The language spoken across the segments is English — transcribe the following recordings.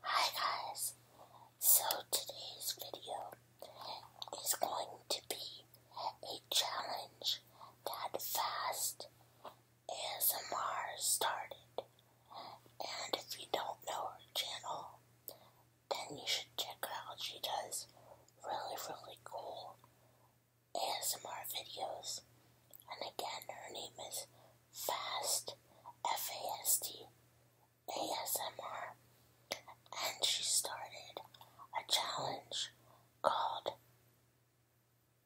Hi guys, so today's video is going to be a challenge that Fast ASMR started. And if you don't know her channel, then you should check out. She does really, really cool ASMR videos. And again, her name is Fast, F A S T, ASMR. And she started a challenge called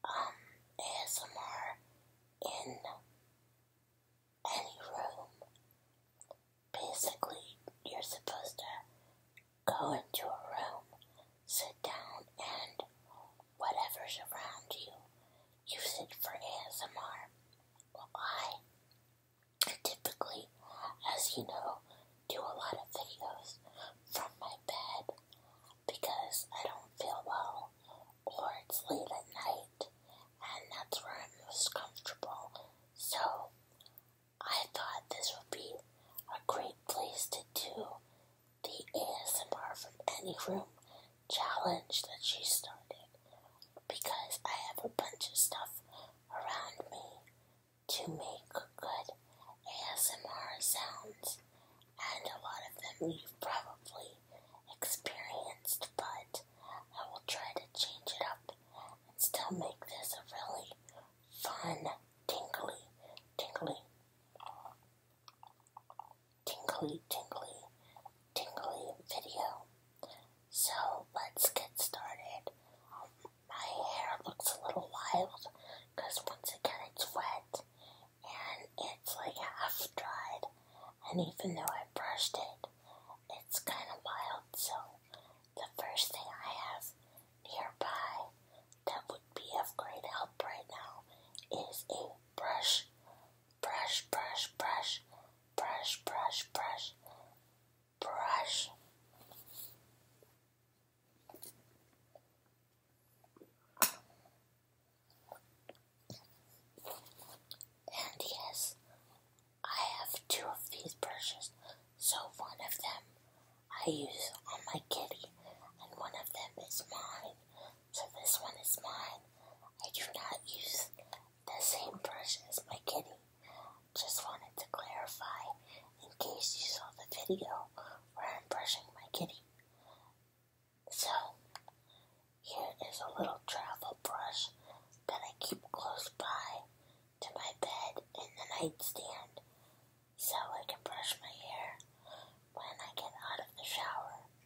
um, ASMR in any room. Basically, you're supposed to go into a room, sit down, and whatever's around you. Use it for ASMR. I typically, as you know, do a lot of videos from my bed because I don't feel well or it's late at night and that's where I'm most comfortable. So I thought this would be a great place to do the ASMR from Any Room challenge that she started because I have a bunch of stuff around me to make good ASMR sounds, and a lot of them you've probably experienced, but I will try to change it up and still make this a really fun, tingly, tingly tingly, tingly, tingly video. So let's get started. My hair looks a little wild because once again it's wet and it's like half dried, and even though I brushed it, it's kind of wild. So the first thing I have nearby that would would be of great help right now is a brush, brush, brush, brush, brush, brush, brush, brush. And yes, I have two of these brushes, so one of them I use on my kitty, and one of them is mine so this one is mine. I do not use the same brush as my kitty. Just wanted to clarify in case you saw the video where I'm brushing my kitty. So, here is a little travel brush that I keep close by to my bed in the nightstand so I can brush my hair when I get out of the shower.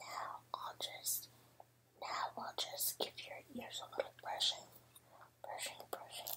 Now I'll just now I'll just give your ears a little brushing, brushing, brushing.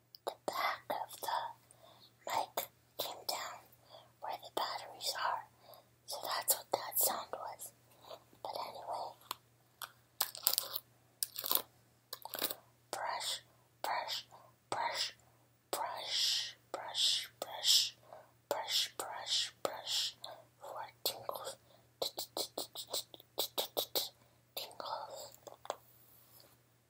the back of the mic came down where the batteries are. So that's what that sound was. But anyway, brush, brush, brush, brush, brush, brush, brush, brush, brush, for tingles, tingles.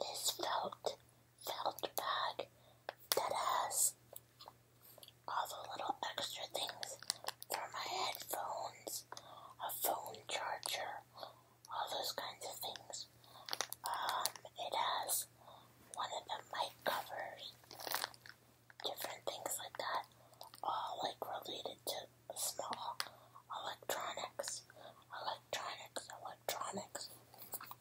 this felt felt bag that has all the little extra things for my headphones, a phone charger, all those kinds of things. Um, it has one of the mic covers, different things like that, all like related to small electronics, electronics, electronics.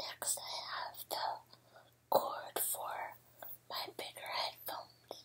Next, I have the cord for my bigger headphones.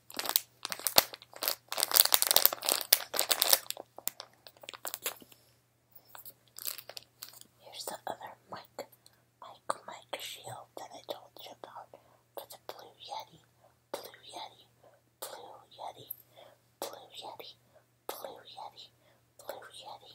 Here's the other mic, mic, mic shield that I told you about for the Blue Yeti, Blue Yeti, Blue Yeti, Blue Yeti, Blue Yeti, Blue Yeti.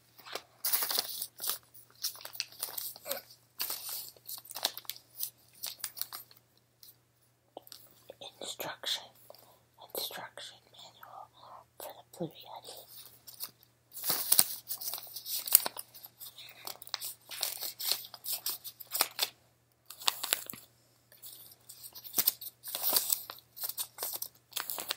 Instruction instruction manual for the Blue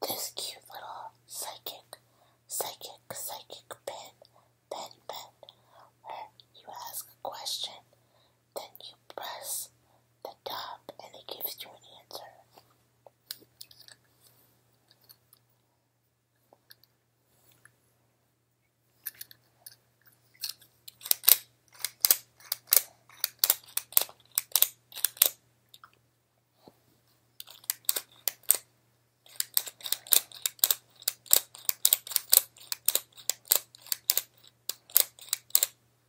This cute little psychic, psychic, psychic pen, pen, pen, where you ask a question, then you press the top and it gives you an answer.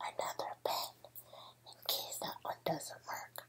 Another pen in case that one doesn't work.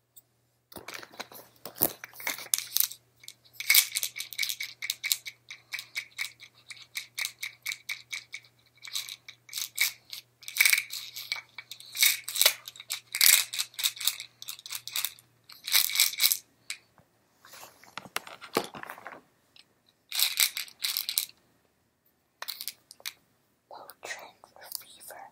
Low trend reliever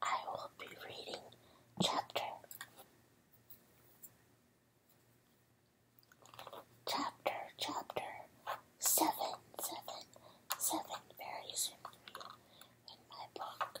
I will be reading chapter chapter chapter seven seven seven very soon in my book.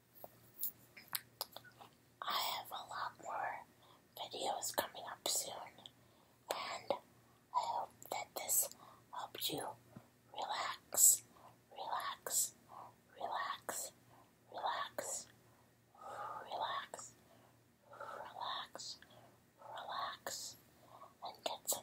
I have a lot more videos coming up soon, and I hope that this helped you relax, relax, relax, relax, relax, relax, relax, and get some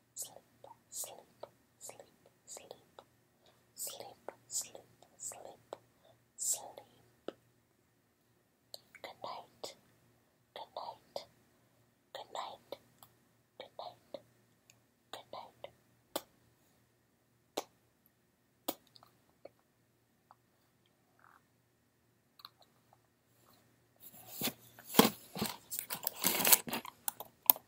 sleep, sleep, sleep, sleep, sleep, sleep, sleep, sleep. Good night, good night, good night, good night, good night.